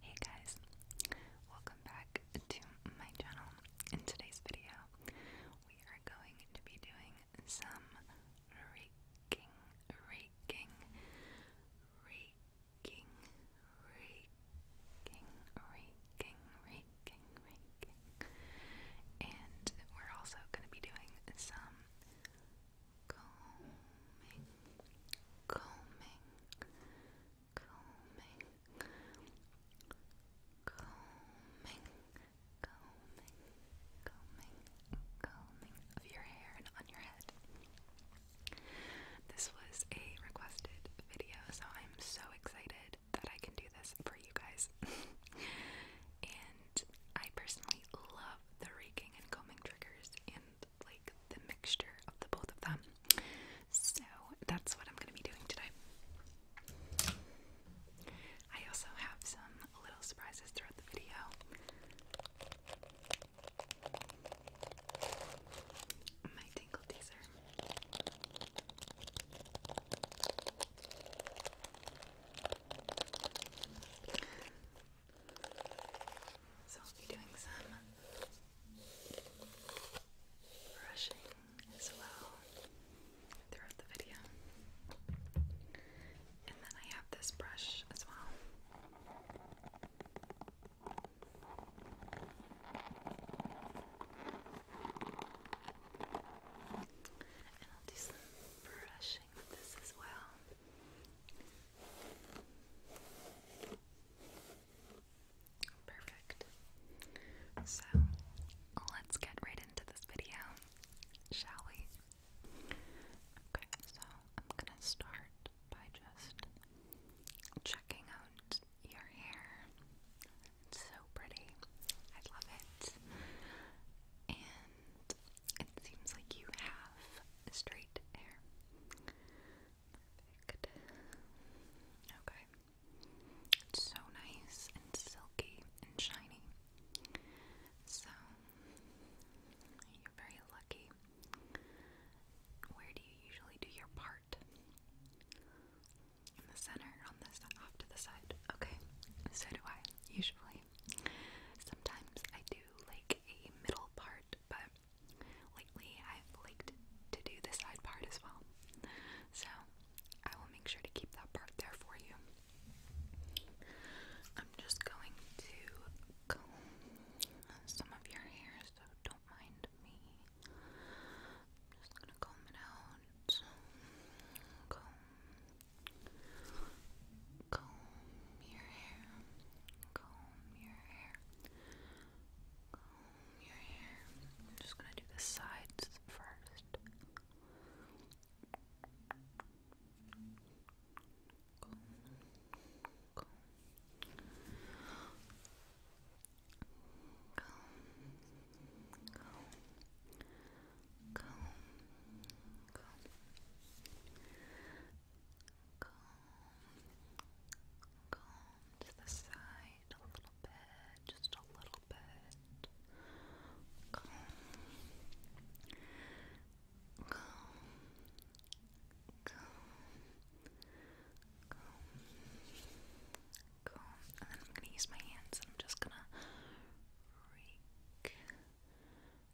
Hey guys, welcome back to my channel. In today's video, we are going to be doing some raking, raking, raking, raking, raking, raking, raking. And we're also going to be doing some combing, combing, combing, combing, combing, combing, combing of your hair and on your head. This was a requested video, so I'm so excited that I can do this for you guys. and I personally love the raking and combing triggers, like the mixture of the both of them. So that's what I'm going to be doing today. I also have some little surprises throughout the video. My tingle teaser. So I'll be doing some brushing as well throughout the video. And then I have this brush as well. And I'll do brushing with this as well. Perfect. So let's get right into this video, shall we? Okay, so I'm gonna start by just checking out your hair. so pretty. I love it. And it seems like you have straight hair. Okay. It's so nice and silky and shiny. So, you're very lucky. Where do you usually do your part? In the center, on this off to the side. Okay, so do I usually. Sometimes I do like a middle part, but lately I've liked to do the side part as well. So I will make sure to keep that part there for you. I'm just going to comb some of your hair, so don't mind me. I'm just gonna comb it out comb your hair, comb your hair, comb your hair. I'm just gonna do the sides first comb, comb, comb, comb to the side a little bit, just a little bit, comb, comb, comb, comb, and then I'm gonna use my hands and I'm just gonna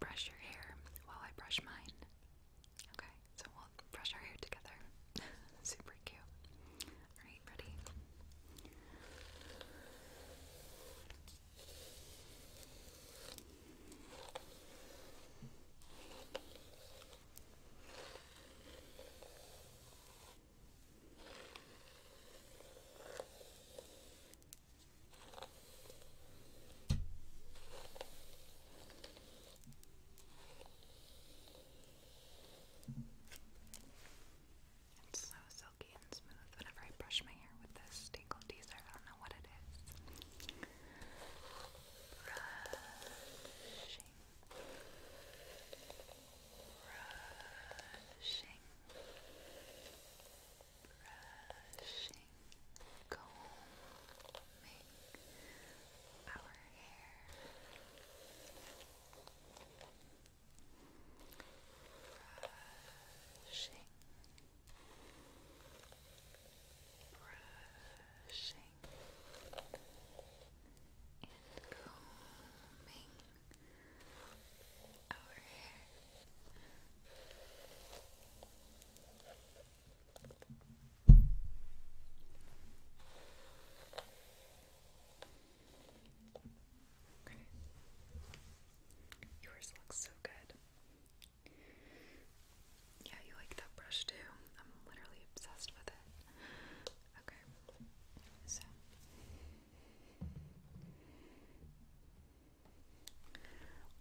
brush your hair while I brush mine. Okay, so we'll brush our hair together. Super cute. Alright, ready? It's so silky and smooth. Whenever I brush my hair with this tingle teaser, I don't know what it is brushing, combing our hair, brushing, brushing, combing our Yours looks so good. Yeah, you like that brush too. I'm literally obsessed with it. Okay.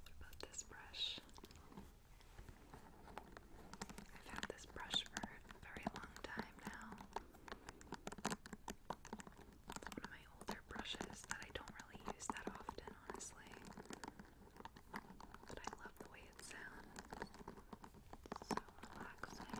What about this brush? I've had this brush for a very long time now. one of my older brushes that I don't really use that often, honestly. But I love the way it sounds. so relaxing.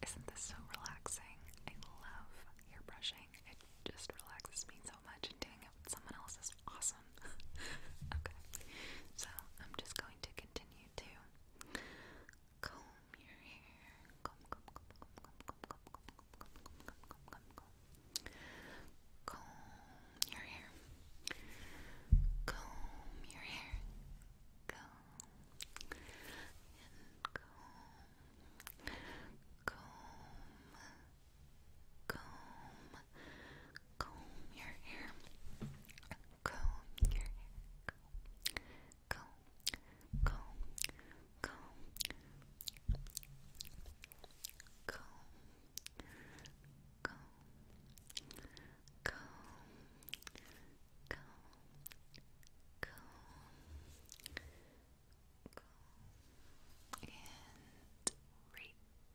Isn't this so relaxing? I love hair brushing. It just relaxes me so much, and doing it with someone else is awesome. okay, so I'm just going to continue to comb your hair. Comb, comb, comb, comb, comb, comb, comb, comb, comb, comb, comb. Comb your hair. Comb your hair. Comb and comb. Comb. Comb. your hair. Comb your hair go, go, go, go, go, go, go, go, go, and rake,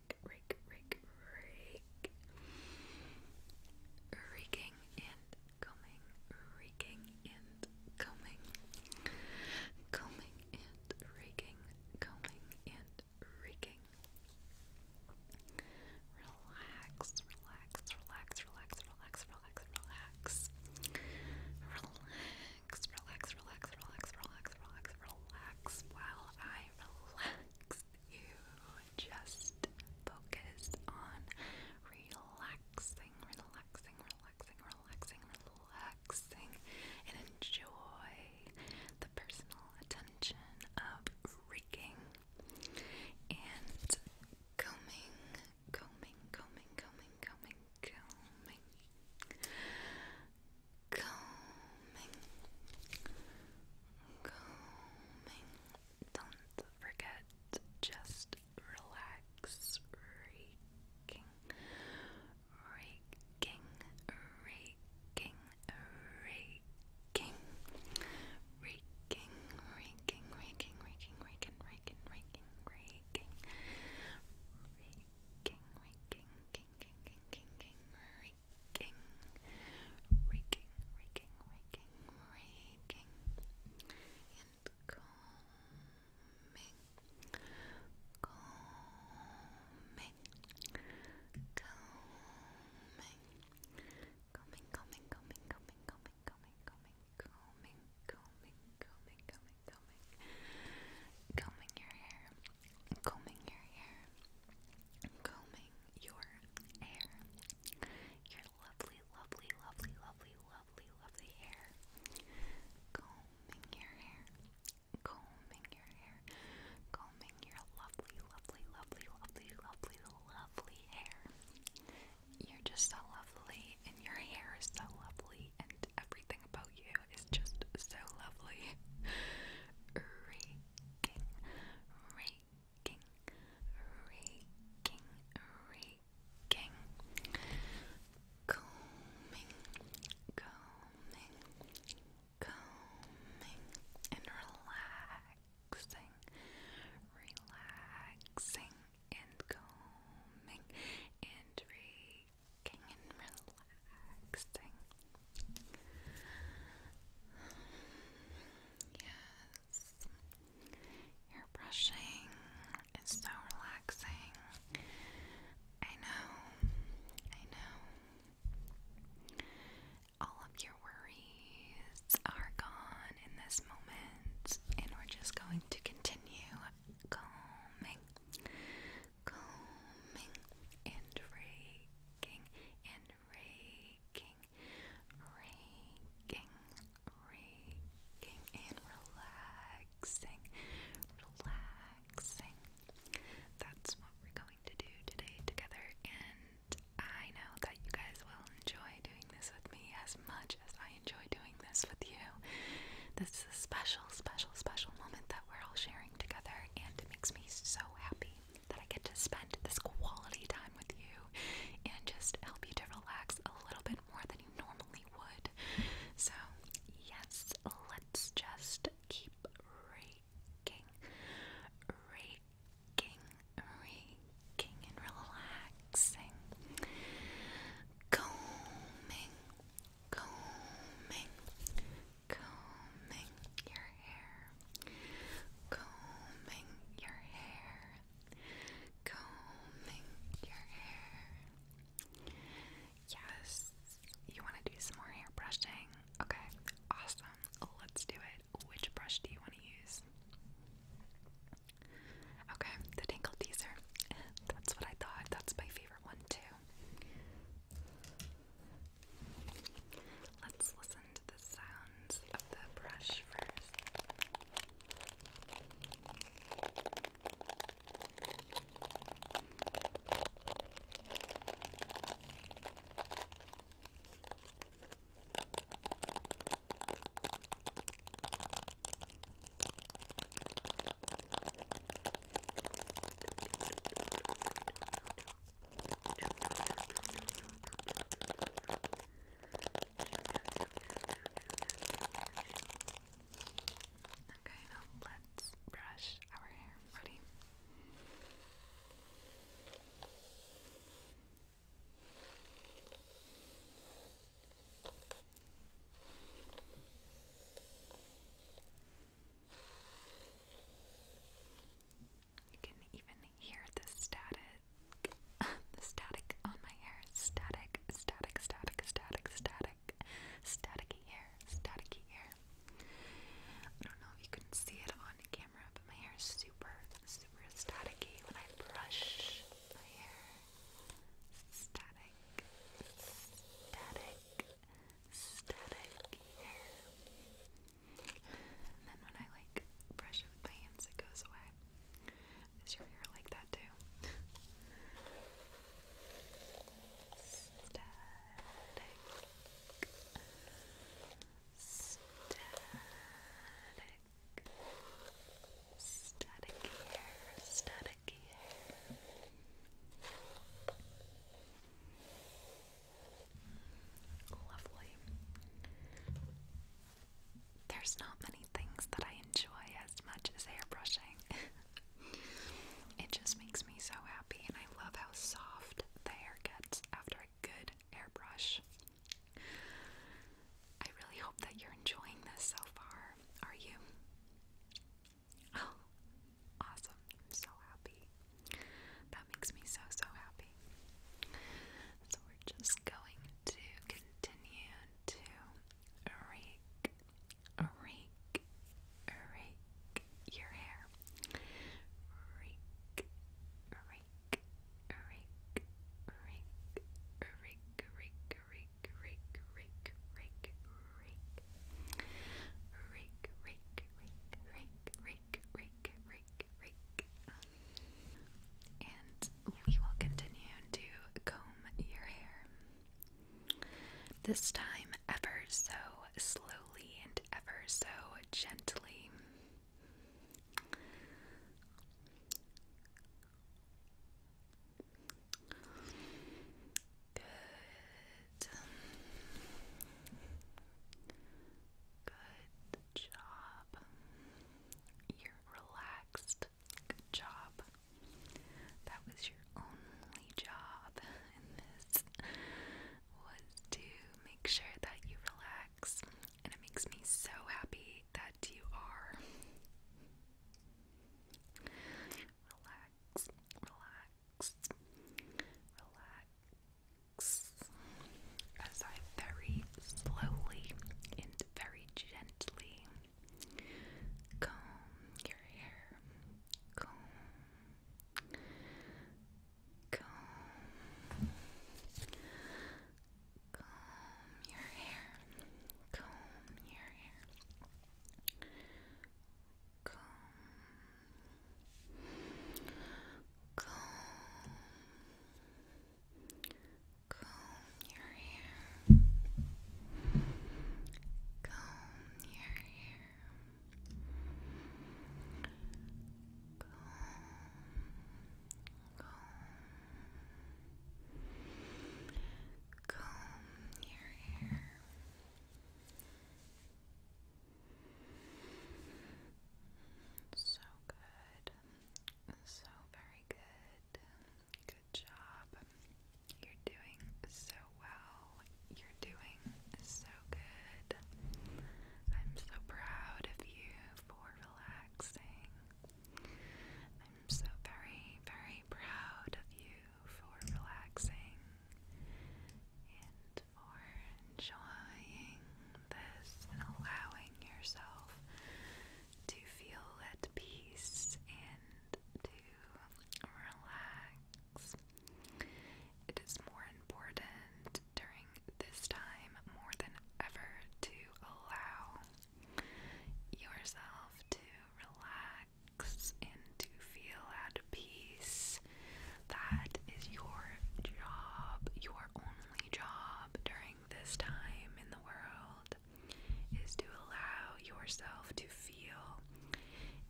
rake, rake, rake, rake. Raking and combing, raking and combing, combing and raking, combing and raking. Relax, relax, relax, relax, relax, relax, relax. Relax relax, relax, relax, relax, relax, relax, relax. While I relax, you just focus on relaxing, relaxing, relaxing, relaxing, relaxing, and enjoy the personal attention of raking and combing, combing, combing, combing, combing, combing, combing, combing. Don't forget just relax, raking, raking, raking, raking. Raking, raking, raking, raking, raking, raking, raking, raking, raking, raking, raking, raking, king, king, king, raking, raking, raking, raking, raking, and combing, combing, combing, combing, combing, combing, combing, combing, combing, combing, combing, combing, combing, combing, combing, combing your hair, combing your hair, combing your hair, your lovely, lovely, lovely, lovely, lovely, lovely hair, combing your hair, combing your hair, combing your lovely, lovely, lovely, lovely, lovely, lovely hair. You're just so lovely, and your hair is so lovely, and everything about you is just so lovely. Raking, raking, raking, raking. Combing, combing, combing, and relaxing, relaxing, and combing, and raking and relaxing. Yes, your brushing is so relaxing. I know, I know. All of your worries are gone in this moment, and we're just going to continue calming, combing and raking and raking, raking, raking and relaxing, relaxing. That's what we're going to do today together, and I know that you guys will enjoy doing this with me as much as I. I enjoy doing this with you. This is a special, special, special moment that we're all sharing together, and it makes me so happy that I get to spend this quality time with you and just help you to relax a little bit more than you normally would. So, yes, let's just keep raking, raking, raking, and relaxing, combing, combing, combing your hair, combing your hair, combing your hair. Yes, you want to do some more hair brushing? Okay, awesome. Let's do it. Which brush do you want to use? Okay, the Tinkle teaser. That's what I thought. That's my favorite one too. Let's listen to the sounds of the brush first. Okay, now let's brush our hair. Ready? Okay, you can even hear the static, the static on my hair. Static, static, static, static, static, staticky hair, staticky hair. I don't know if you can see it on camera, but my hair is super, super staticky when I brush my hair static, static, static And then when I like brush it with my hands, it goes away. Is your hair like that too? static, static static hair, static hair. Lovely. There's not many things that I enjoy as much as airbrushing. it just makes me so happy, and I love how soft the hair gets after a good airbrush. I really hope that you're enjoying this so far are you? Oh, awesome. so happy. That makes me so, so happy. So, we're just going to continue to rake, rake, rake your hair. Rake, rake, rake, rake, rake, rake, rake, rake, rake, rake, rake, rake, rake, rake, rake, rake, rake, rake, rake, rake. And we will continue to comb your hair. This time, ever so slowly and ever so gently. Good. Good job. You're relaxed. Good job. That was your only job and this was to make sure that you relax. And it makes me so happy that you are. Relax, relax, relax. As I very slowly and very gently comb your hair, comb, comb, comb your hair, comb your hair, comb, comb, comb your hair, comb your hair, comb, comb comb your hair. So good. So very good. Good job. You're doing so well. You're doing so good. I'm so proud of you for relaxing I'm so very, very proud of you for relaxing and for enjoying this and allowing yourself to feel at peace and to relax. It is more important during this time more than ever to allow yourself to relax and to feel at peace. That is your job, your only job during this time in the world is to allow yourself to feel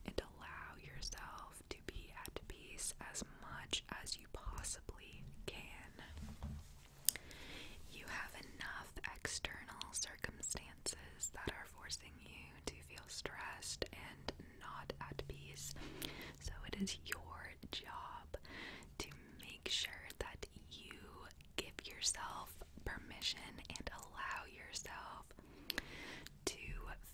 and allow yourself to be at peace as much as you possibly can. You have enough external circumstances that are forcing you to feel stressed and not at peace. So it is your job to make sure that you give yourself permission and allow yourself to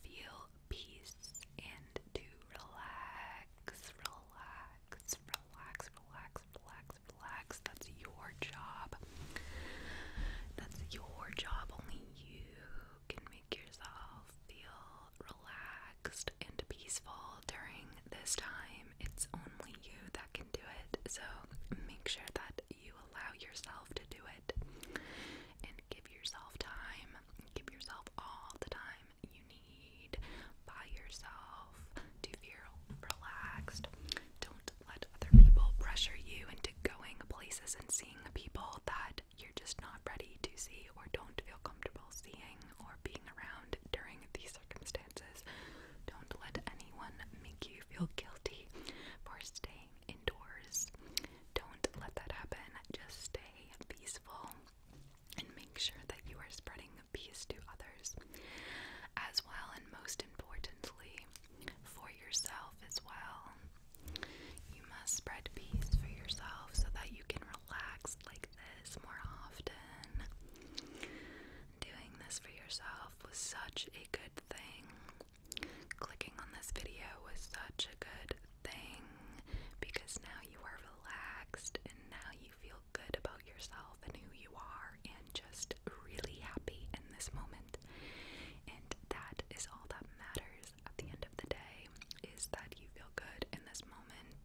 feel peace and to relax, relax, Relax, relax, relax, relax, That's your job. That's your job. Only you can make yourself feel relaxed and peaceful during this time. It's only you that can do it. So make sure that you allow yourself to do it and give yourself time. Give yourself all the time you need by yourself to feel relaxed. Don't let other people pressure you into going places and seeing people that you're just not ready to see or don't feel comfortable seeing or being around during these circumstances. Don't let anyone make you feel guilty for staying indoors. Don't let that happen. Just stay peaceful and make sure that you are spreading the peace to others as well, and most importantly, for yourself as well. You must spread peace for yourself so that you can relax like this more often. Doing this for yourself was such a good thing. Clicking on this video was such a good thing because now you are relaxed and now you feel good about yourself and who you are and just really happy in this moment. And that is all that matters at the end of the day is that you feel good in this moment.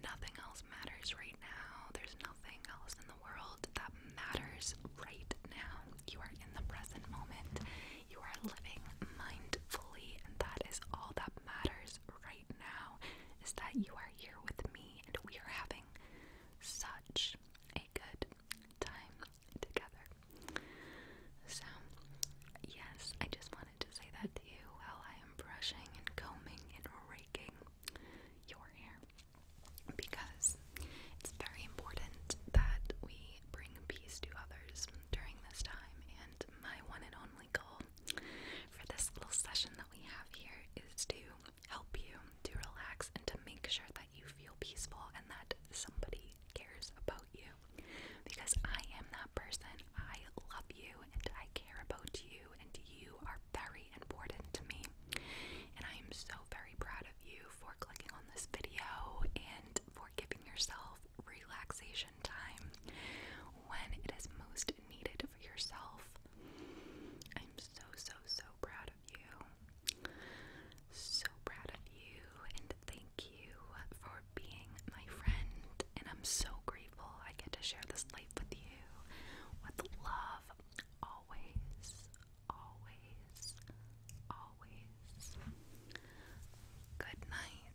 Nothing else matters right now. There's nothing else in the world that matters right now. You are in the present moment. You are living mindfully, and that is all that matters Right now is that you are here with me and we are having such a good time together. So, yes, I just wanted to say that to you while I am brushing and combing and raking your hair because it's very important that we bring peace to others during this time. And my one and only goal for this little session that we have here is to help you to relax and to make sure that you feel peaceful and that somebody cares about you. Because I am that person. I love you and I care about you, and you are very important to me. And I am so very proud of you for clicking on this video and for giving yourself relaxation time when it is most needed for yourself. I'm so, so, so proud of you. So proud of you, and thank you for being my friend. And I'm so grateful I get to share this life with you with love always, always, always. Good night.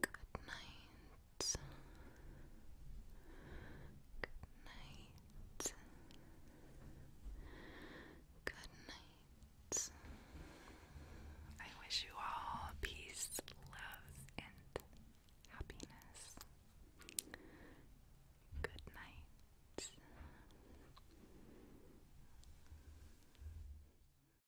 Good night. Good night. Good night. I wish you all peace, love, and happiness. Good night.